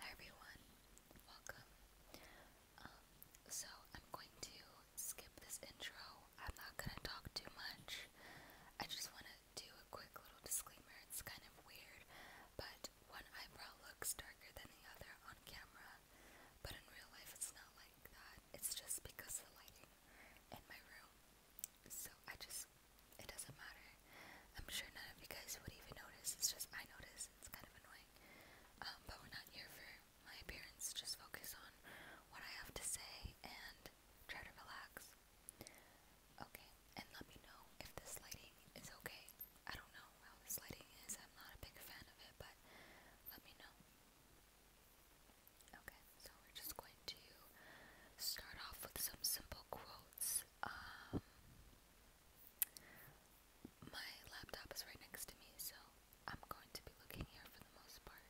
Hi everyone, welcome. Um, so I'm going to skip this intro. I'm not gonna talk too much. I just wanna do a quick little disclaimer. It's kind of weird, but one eyebrow looks darker than the other on camera, but in real life it's not like that. It's just because the lighting in my room. So I just it doesn't matter. I'm sure none of you guys would even notice. It's just I notice. It's kind of annoying. Um, but we're not here for my appearance. Just focus on what I have to say and try to relax. Okay, and let me know if this lighting is okay. I don't know how this lighting is. I'm not a big fan of it, but let me know. Okay, so we're just going to start off with some simple quotes. Um, my laptop is right next to me, so I'm going to be looking here for the most part.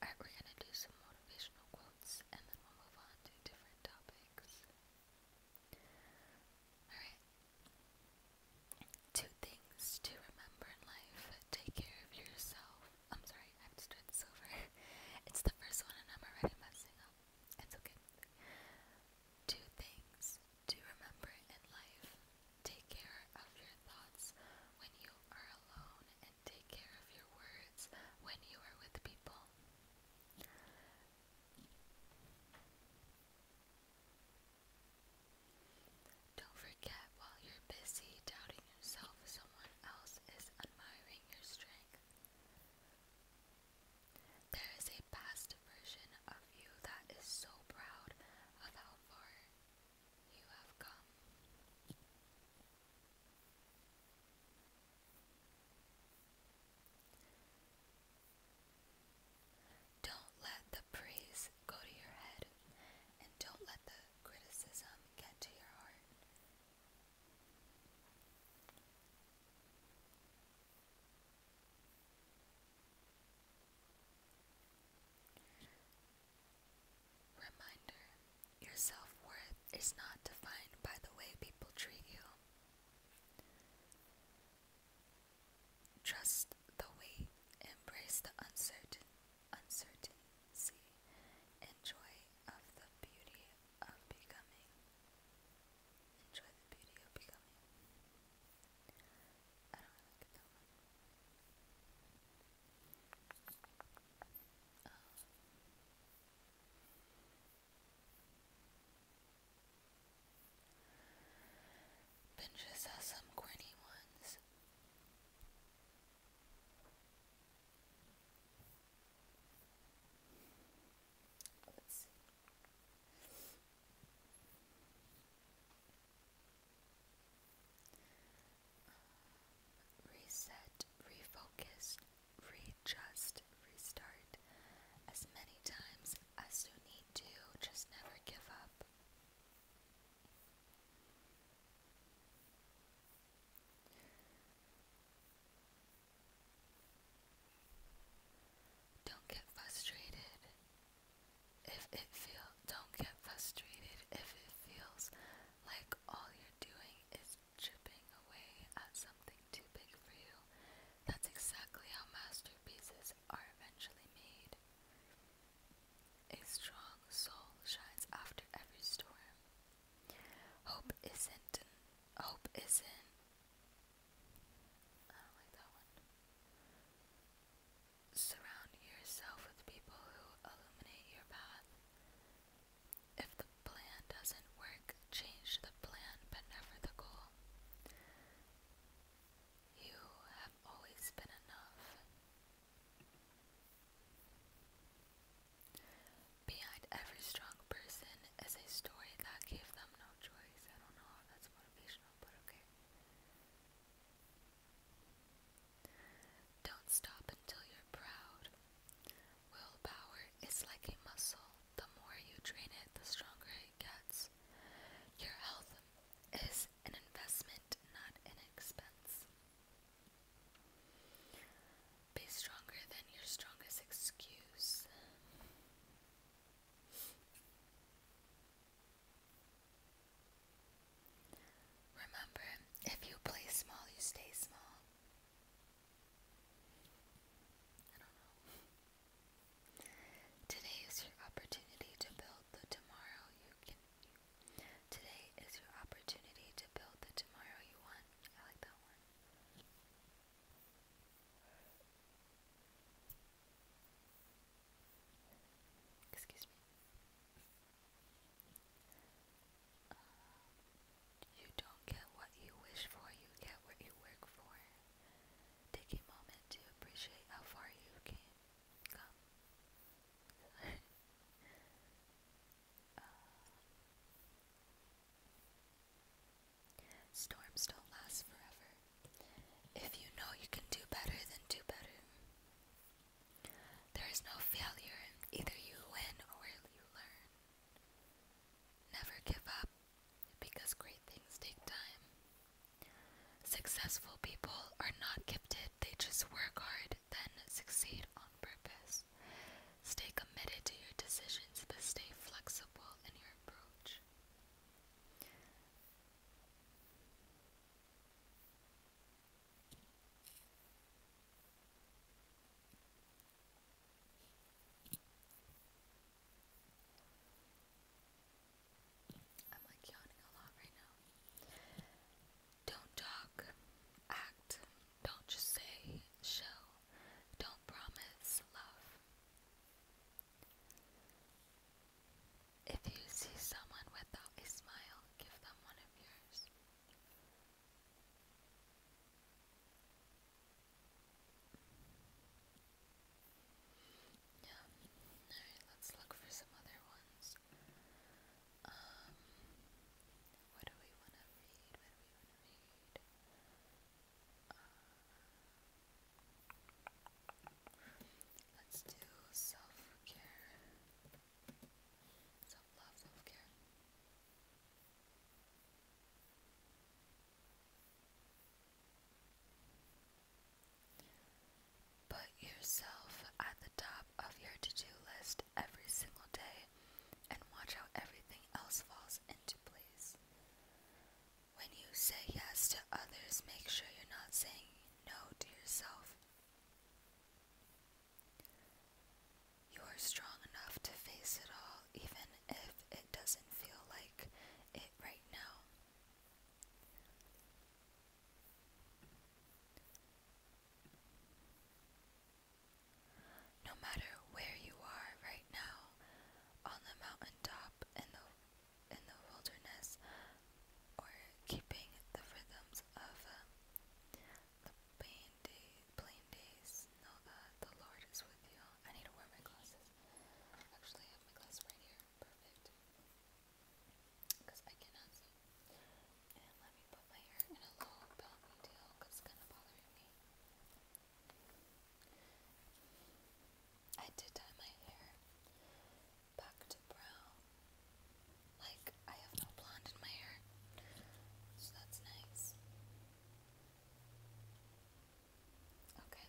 Alright, we're gonna do some motivational quotes and then we'll move on to different topics. Alright. Two things to remember in life. Take care of yourself. I'm sorry, I have to it's the first one and I'm already messing up. Um, it's things to remember in life take care of your thoughts when you are alone, and take care of your words when you are with people. Don't forget while you're busy doubting yourself, someone else is admiring your strength. There is a past version of you that is so proud of how far you have come. Don't let the praise go to your head, and don't let the criticism get to your heart. Reminder Your self worth is not defined by the way people treat you. Trust the wait, embrace the uncertain, uncertainty, and of the beauty of becoming. Enjoy the beauty of becoming. I don't like that um. Pinterest has some corny ones. Uh, reset, refocus, readjust, restart as many times as you need to. Just never give up. Don't get frustrated if it feel don't get frustrated if it feels like all you're doing is chipping away at something too big for you. That's exactly how masterpieces are eventually made. A strong soul shines after every storm. Hope isn't. Hope isn't. I don't like that one. Surround yourself with people who illuminate your path. If the plan doesn't work, change the plan but never the goal. You have always been enough. Behind every strong person is a story that gave them no choice. I don't know how that's motivational, but okay. Don't stop until you're proud. Willpower is like a muscle. The more you train it, the stronger it gets. Your health is an investment, not an expense. Be stronger than your strongest excuse. Remember, if you play small, you stay small. Today is your opportunity to build the tomorrow you can. Today is your opportunity to build the tomorrow you want. I like that one. Excuse um, you don't get what you wish for, you get what you work for. Take a moment to appreciate how far you can Storms don't last forever. If you know you can do better, then do better. There is no failure. Either you win or you learn. Never give up because great things take time. Successful people are not gifted, they just work hard, then succeed on purpose. Stay committed to your decisions, but stay flexible in your approach. I'm like yawning a lot right now. Don't talk, act. Don't just say show. Don't promise love. If you see someone without a smile, give them one of yours. Yeah. Alright, let's look for some other ones. Um what do we wanna read? What do we wanna read? let's do self-care. Self-love, self-care. Put yourself at the top of your to-do list every single day and watch how everything else falls into place. When you say yes to others, make sure you're not saying no to yourself. You are strong enough to face it all, even if it doesn't feel like it right now. No matter where you are right now, on the mountaintop, in the in the wilderness, or keeping the rhythms of uh, the plain, day, plain days, know that uh, the Lord is with you. I need to wear my glasses. Actually, have my glasses right here. Perfect. Because I cannot see. And let me put my hair in a low belt because it's kind of bothering me. I did dye my hair back to brown. Like, I have no blonde in my hair, so that's nice. Okay.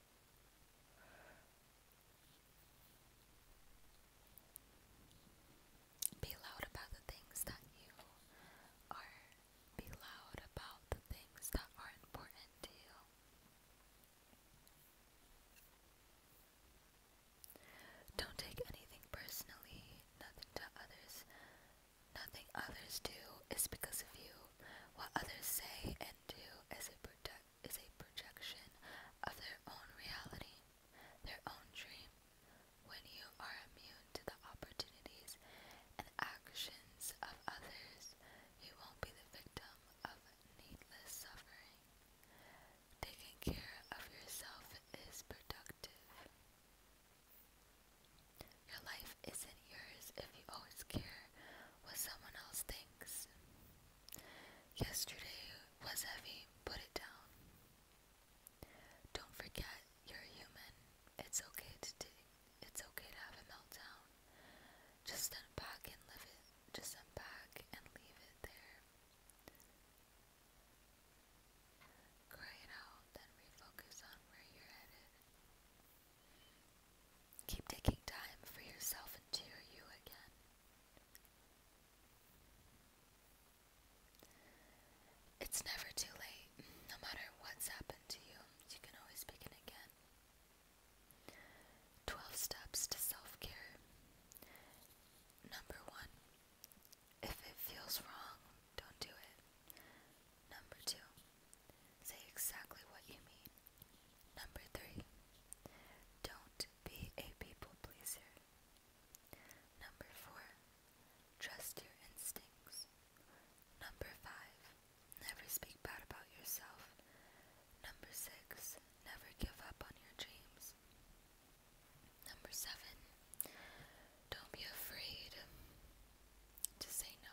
Be loud about the things that you are. Be loud about the things that are important to you. Don't take anything personally. Nothing to others. Nothing others do is because of you. What others say do is a, proje- is a projection of their own reality, their own dream. When you are immune to the opportunities and actions of others, you won't be the victim of needless suffering. Taking care of yourself is productive. Your life isn't yours if you always care what someone else thinks. Yesterday was heavy, put it down. Don't forget you're human. It's okay to do, it's okay to have a meltdown. Just unpack and live it. Just unpack and leave it there. Cry it out, then refocus on where you're headed. Keep taking time for yourself and to your you again. It's never too late. No matter what's happened to you, you can always begin again. 12 steps to self care. Number one, if it feels wrong, don't do it. Number two, Say exactly what you mean. Number three, don't be a people pleaser. Number four, trust your instincts. Number five, never speak bad about yourself. Number six, never give up on your dreams. Number seven, don't be afraid to say no.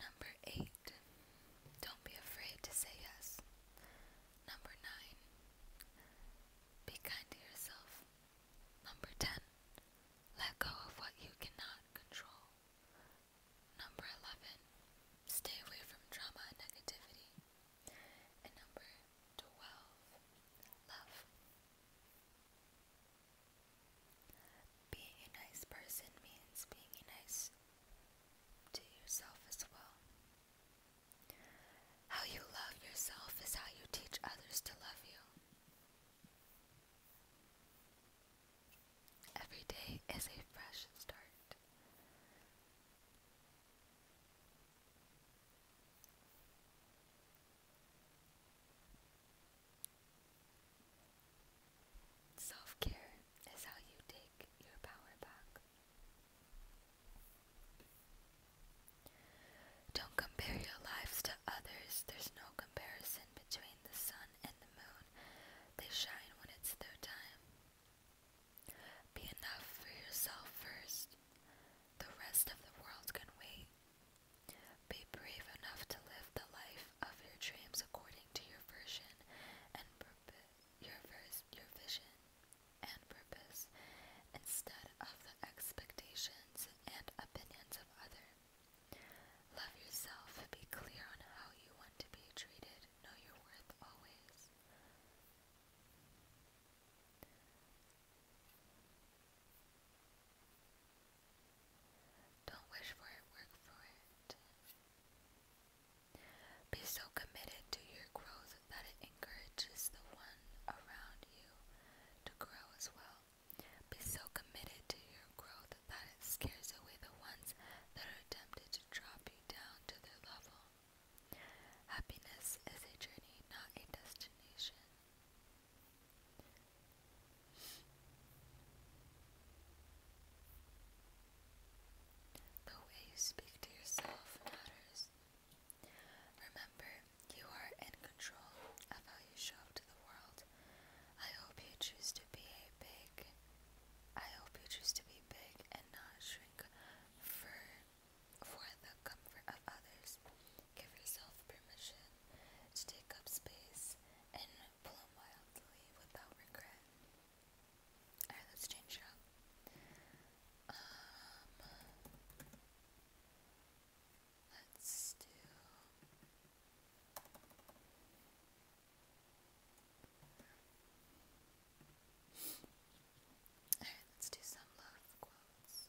Number eight, don't be afraid to say yes. Number nine, be kind to yourself. Number ten, let go of what you cannot control. Number eleven, stay away from drama and negativity. And number twelve, love. Being a nice person means being nice to yourself as well. How you love yourself is how you teach others to love you. Every day is a fresh start. Self care is how you take your power back. Don't compare your lives to others. There's no comparison between the sun and the moon. They shine when it's their time. Be enough for yourself first. The rest of the world can wait. Be brave enough to live the life of your dreams according to your version and your vision and purpose, instead of the expectations and opinions of others. Love yourself, be clear on how you want to be treated, know your worth always. Don't wish for it, work for it. Be so committed to your growth that it encourages the one around you to grow as well. Be so committed to your growth that it scares away the ones that are tempted to drop you down to their level. Happiness is a journey, not a destination. The way you speak to yourself matters. Remember, you are in control of how you show up to the world. I hope you choose to be a big. I hope you choose to be big and not shrink for for the comfort of others. Give yourself permission to take up space and blow wildly without regret. Alright, let's change it up. let's do. Alright, let's do some love quotes.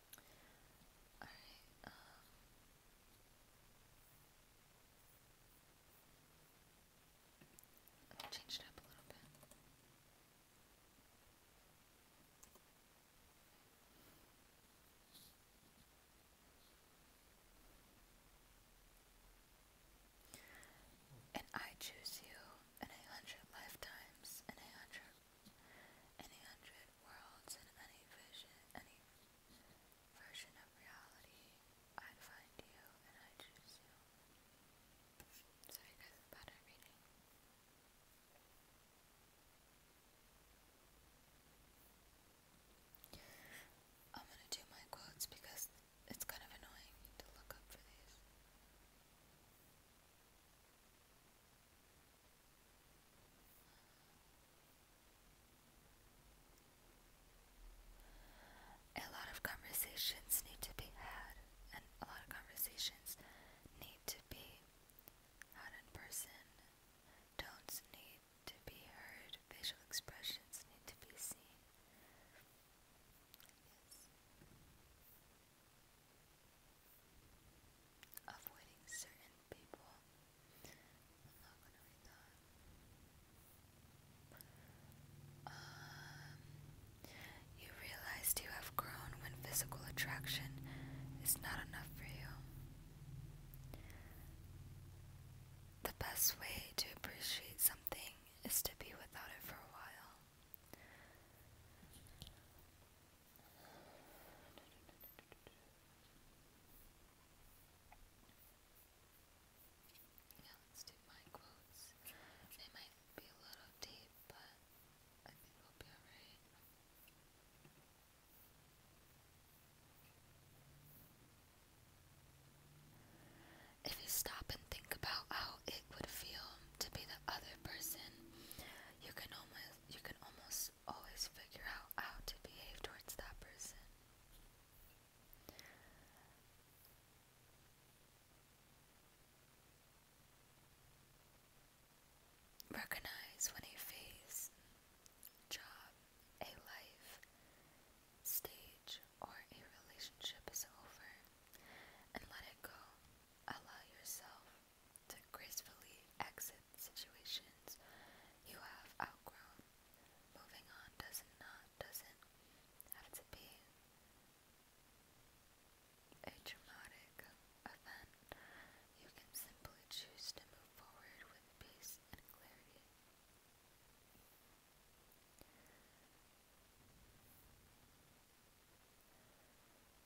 Alright, um I'm gonna change it up a little bit. And I choose you in a hundred lifetimes, in a hundred any hundred worlds and any vision, any version of reality, I'd find you and I choose you. Sorry guys, I'm I'm gonna do my quotes because it's kind of annoying to look up for these. A lot of conversations need to be had, and a lot of conversations need to be had in person. Tones need to be heard, facial expressions need to be seen avoiding certain people. Um, you realized you have grown when physical attraction is not enough for you. The best way to appreciate something is to be without it for a while. Yeah, let's do my quotes. They might be a little deep, but I think we'll be alright. If you stop and think about how it would feel to be the other person, you can almost you can almost always figure out how to behave towards that person. Recognize when a phase, job, a life, stage, or a relationship is over and let it go. Allow yourself to gracefully exit situations you have outgrown. Moving on doesn't not doesn't have to be a traumatic event. You can simply choose to move forward with peace and clarity.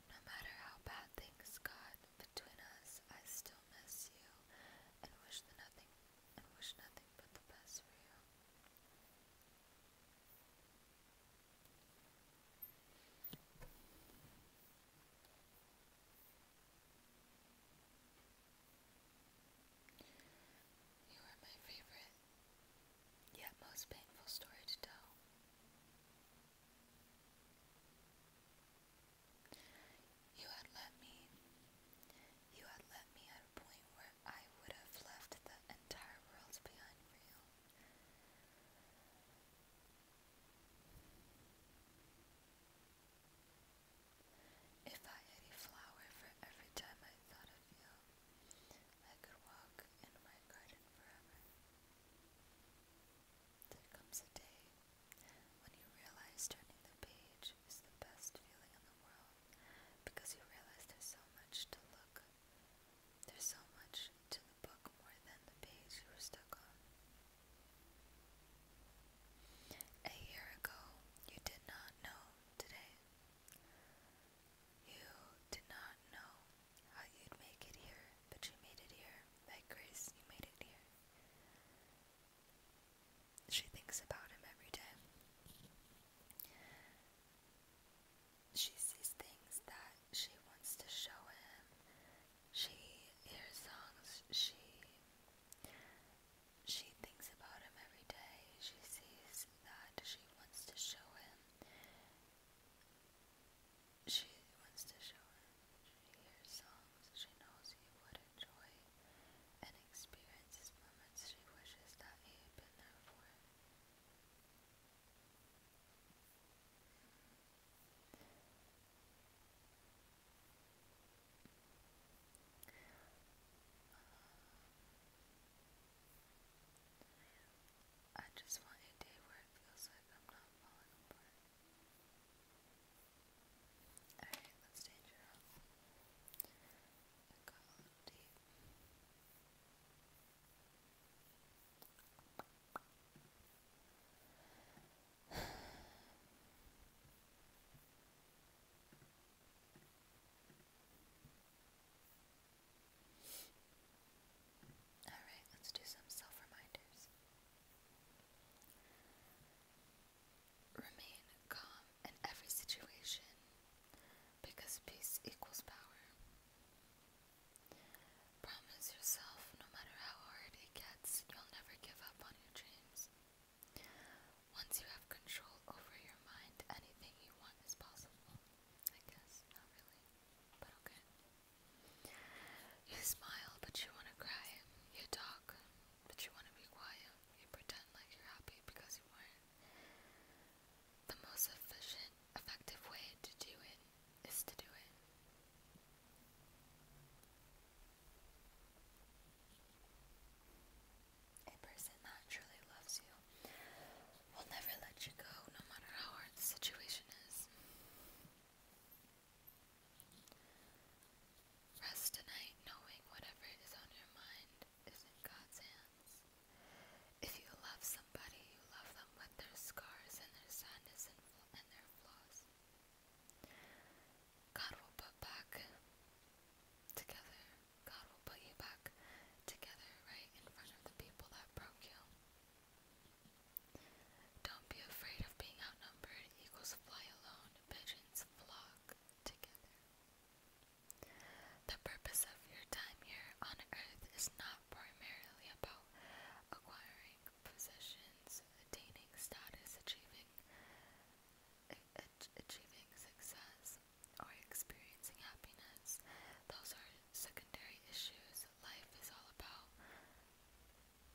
No matter how bad things got between us, I still miss you and wish nothing and wish nothing but the best for you. You were my favorite yet most painful story to tell. You had let me, you had let me at a point where I would have left the entire world behind If I had a flower for every time I thought of you, I could walk in my garden forever. There comes a day when you realize turning the page is the best feeling in the world because you realize there's so much to look. There's so much to the book more than the page you were stuck on. A year ago, you did not know today. You did not know how you'd make it here, but you made it here. By grace, you made it here. She thinks about him every day. She sees things that she wants to show him. She hears songs. She she thinks about him every day. She sees that she wants to show him. She wants to show him. She hears songs she knows he would enjoy and experiences moments she wishes that he had been there for. I just want a day where it feels like I'm not falling apart. Alright, let's change it Alright, let's do some self reminders. Remain calm in every situation because peace equals power. Promise yourself, no matter how hard it gets, you'll never give up on your dreams. Once you have control over your mind, anything you want is possible. I guess, not really. You smile, but you want to cry. You talk, but you want to be quiet. You pretend like you're happy because you were The most efficient, effective way to do it is to do it. A person that truly loves you We'll never let you go, no matter how hard the situation is. Rest tonight knowing whatever is on your mind is in God's hands. If you love somebody, you love them with their scars and their sadness and their flaws. God will put back together. God will put you back together right in front of the people that broke you. Don't be afraid of being outnumbered. Eagles fly alone, pigeons flock together. The purpose of your time here on earth is not primarily about acquiring possessions, attaining status, achieving achieving success or experiencing happiness. Those are secondary issues. Life is all about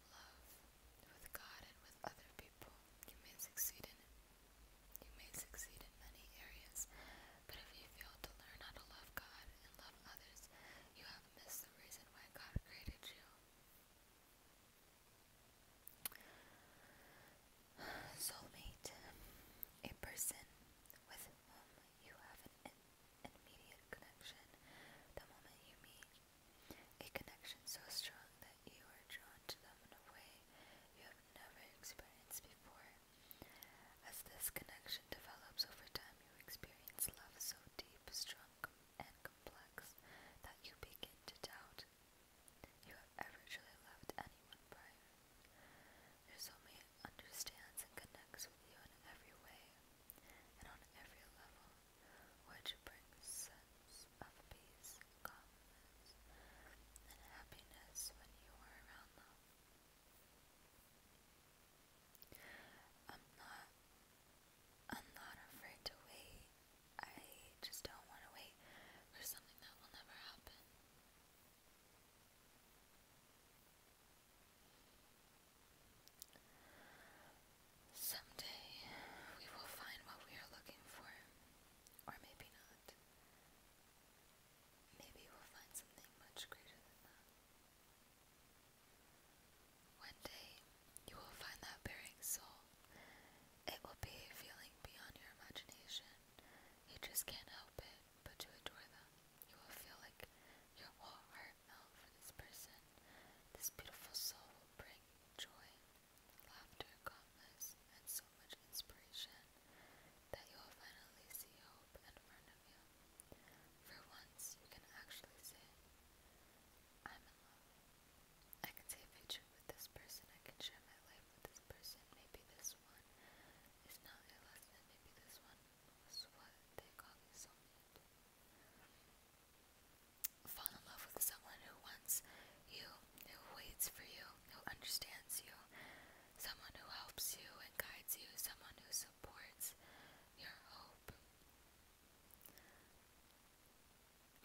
love with God and with other people. You may succeed in You may succeed in many areas, but if you fail to learn how to love God and love others, you have missed the reason why God created you. Soulmate, a person with whom you have an, immediate connection the moment you meet. A connection so strong that you are drawn to them in a way you have never experienced before. As this connection develops over time, you experience love so deep, strong, and complex that you begin to doubt you have ever truly loved anyone prior. Your soulmate understands and connects with you in every way and on every level, which brings sense of peace, calmness, and happiness when you are around them. I'm not I'm not afraid to wait. I just don't want to wait for something that will never happen. Someday we will find what we are looking for, or maybe not. Maybe we'll find something much greater than that. One day you will find that bearing soul. It will be a feeling beyond your imagination. You just can't help it but to adore them. You will feel like your whole heart melt for this person. This beautiful soul will bring joy, laughter, calmness, and so much inspiration that you will finally see hope in front For once, you can actually say, I'm in love. I can take a picture with this person, I can share my life with this person. Maybe this one is not a lesson, maybe this one Fall in love with someone who wants you, who waits for you, who understands you, someone who helps you and guides you, someone who supports your hope.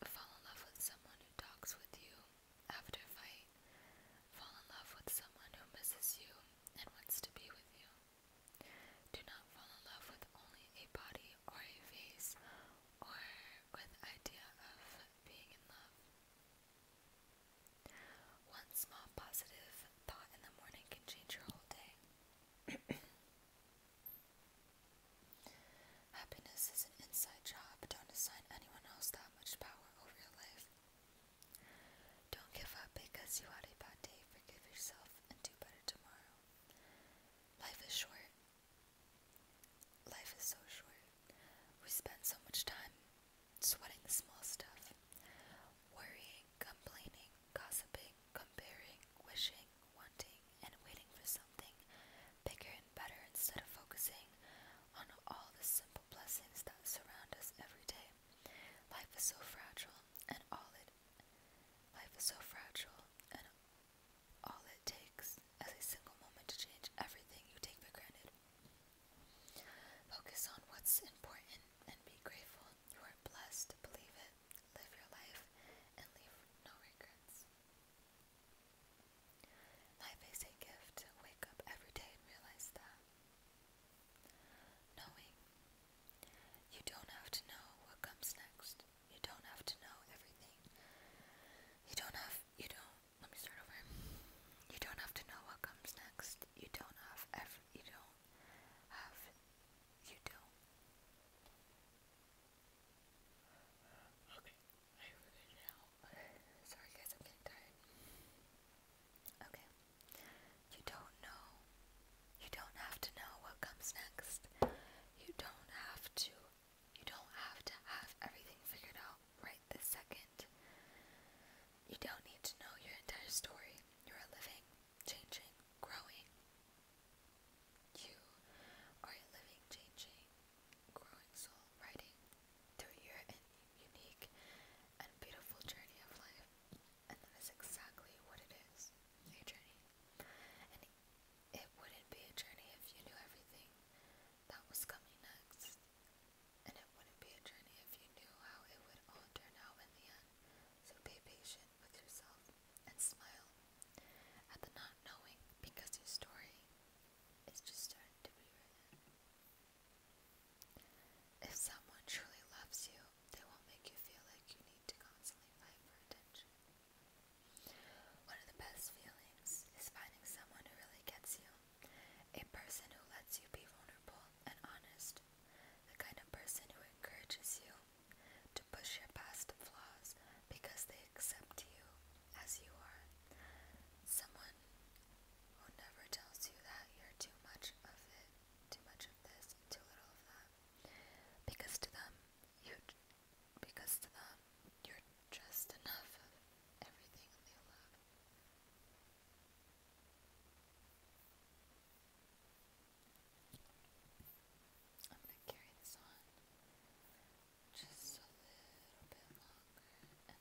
Fall in love with someone who talks with you after fight, Fall in love with someone who misses you and wants to be with you. Do not fall in love with only a body or a face or with idea of being in love. One small positive thought in the morning can change your whole day. Happiness is an inside job. Don't assign anyone else that much power over your life. Don't give up because you had a bad day. Forgive yourself and do better tomorrow. Life is short. Life is so short. We spend so much time sweating the small stuff, worrying, complaining, gossiping, comparing, wishing, wanting, and waiting for something bigger and better instead of focusing on all the simple blessings that surround us every day. Life is so fragile, and all it life is so fragile, and all it takes is a single moment to change everything you take for granted. Focus on what's important and be grateful. You are blessed. Believe it. Live your life and leave no regrets. Life is a gift. Wake up every day realize that. Knowing. You don't have to know what comes next. You don't have to know everything. You don't have, you don't, let me start over. You don't have to know what comes next. You don't have you don't have, you don't. Okay, I have it now. Sorry guys, I'm getting tired. Okay. You don't know. You don't have to know what comes next. You don't have to. You don't have to have everything figured out right this second. You don't need to know your entire story. You are living, changing, growing. You are a living, changing, growing soul, writing through your unique and beautiful journey of life. And that is exactly what it is a journey. And it wouldn't be a journey if you knew everything that was coming next. And it wouldn't be a journey if you knew how it would all turn out in the end. So be patient with yourself and smile at the not knowing because your story is just starting to be written. If someone truly loves you, they won't make you feel like you need to constantly fight for attention. One of the best feelings is finding someone who really gets you, a person who lets you be vulnerable and honest, the kind of person who encourages you to push your past flaws because they accept you as you are. Someone who never tells you that you're too much of it, too much of this, too little of that. Because to them, you, because to them, you're just enough of everything they love. I'm going to carry this on just a little bit longer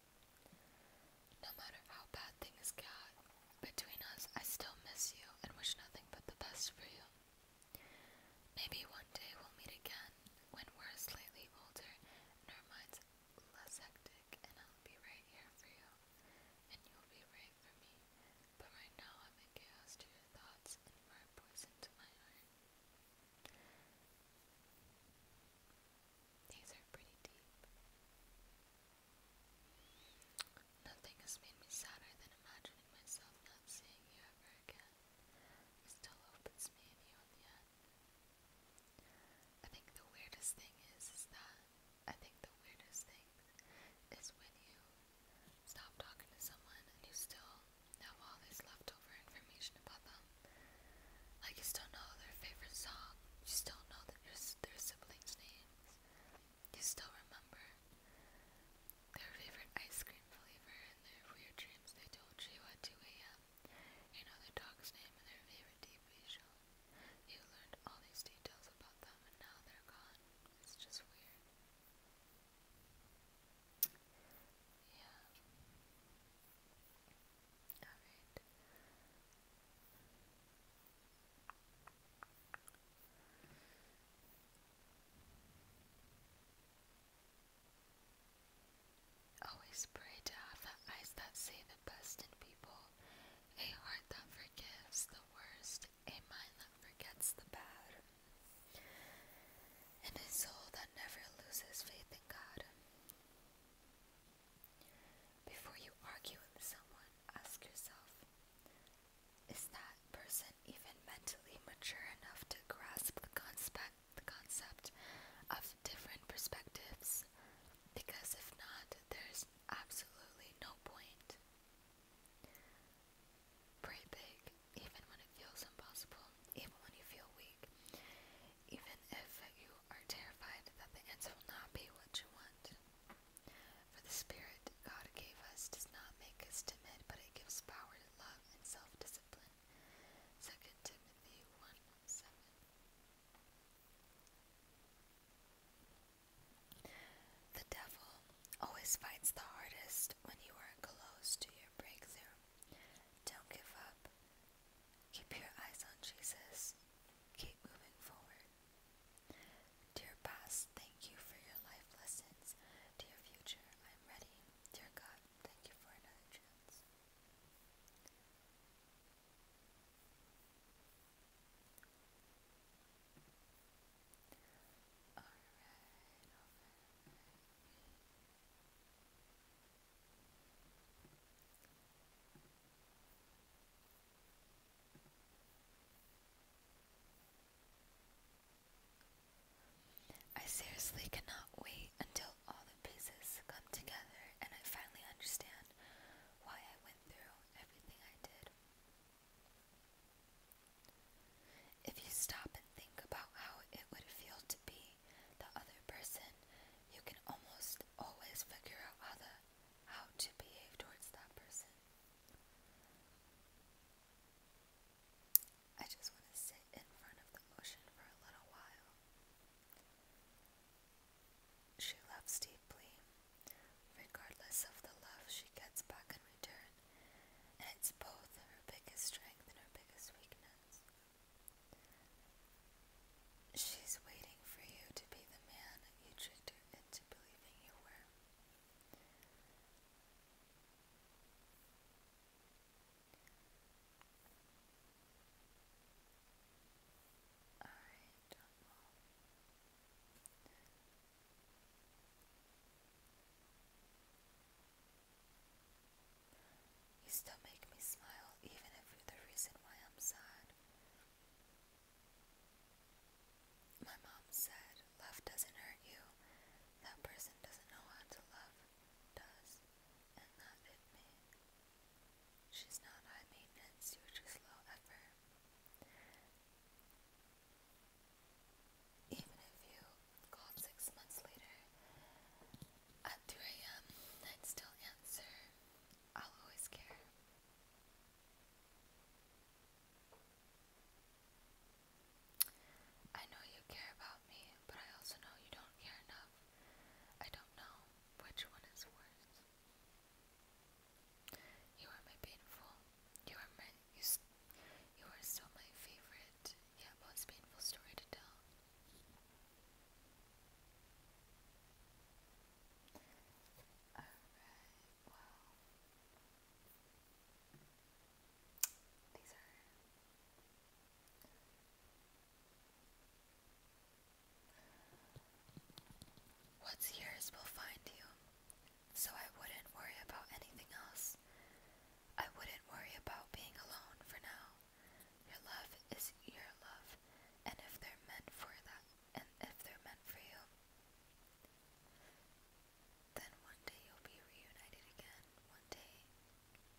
No matter how bad things got between us, I still miss you and wish nothing but the best for you. Maybe one day we'll meet again when we're slightly older and our minds less hectic, and I'll be right here for you, and you'll be right for me. But right now, I'm in chaos to your thoughts, and you are to my heart. These are pretty deep. Nothing has made me sadder than imagining myself not seeing you ever again. It still opens me and you in the end. I think the weirdest thing is, is that I think the weirdest thing is when you stop talking to someone and you still know all this leftover information about them. Like you still know their favorite song, you still know their siblings' names. You still remember their favorite ice cream flavor and their weird dreams they told you at 2 a.m. You know their dog's name and their favorite TV show. You learned all these details about them and now they're gone. It's just weird. Yeah. Alright. Always pray to have the eyes that see the best in people, a heart that forgives the worst, a mind that forgets the bad, and a soul that never loses faith in God. Before you argue with someone, ask yourself Is that person even mentally mature enough to grasp the concept, the concept of different perspectives? Because if not, there's absolutely no point. Pray big, even when it feels impossible, even when you feel weak, even if you are terrified that the answer will not be what you want. For the Spirit God gave us does not make us timid, but it gives power love and self discipline. 2 Timothy 1 7. The devil always fights the hardest when you are close to your breakthrough. Don't give up. Keep your eyes on Jesus. Keep moving forward. Dear past, thank you for your life lessons. Dear future, I'm ready. Dear God, thank you for another chance. I seriously cannot wait until all the pieces come together and I finally understand why I went through everything I did. If you stop and think about how it would feel to be the other person, you can almost always figure out how the how to behave towards that person. I just want to sit in front of the ocean for a little while. She loves deeply, regardless of the love she gets back in return, it's both her biggest strength and her biggest weakness. She's waiting for you to be the man you tricked her into believing you were. Alright, don't know. You still make me smile, even if the reason why I'm sad. My mom said, Love doesn't hurt you. That person doesn't know how to love, does, and that did me. She's not high maintenance, you're just low effort. Even if you called six months later at 3 a.m., i still answer. I'll always care. I know you care about me, but I also know you don't care enough. I don't know which one is worse. You are my painful. You are my. You, you are still my favorite, yet most painful story to tell. Alright, well, these are What's yours will find you, so I wouldn't worry about anything else. I wouldn't worry about being alone for now. Your love is your love, and if they're meant for that, and if they're meant for you, then one day you'll be reunited again. One day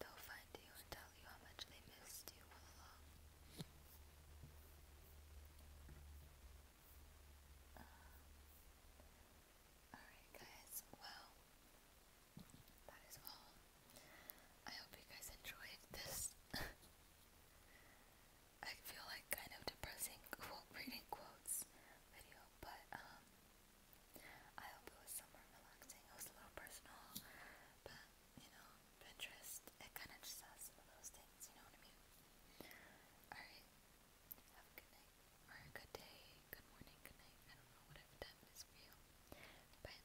they'll find you and tell you how much they missed you all along. Um, Alright, guys, well, that is all. I hope you guys enjoyed this. I feel like kind of depressing quote reading quotes video, but um, I hope it was somewhat relaxing. It was a little personal, but you know, Pinterest, it kind of just has some of those things, you know what I mean? Alright, have a good night, or a good day, good morning, good night, I whatever time it is for you. Bye.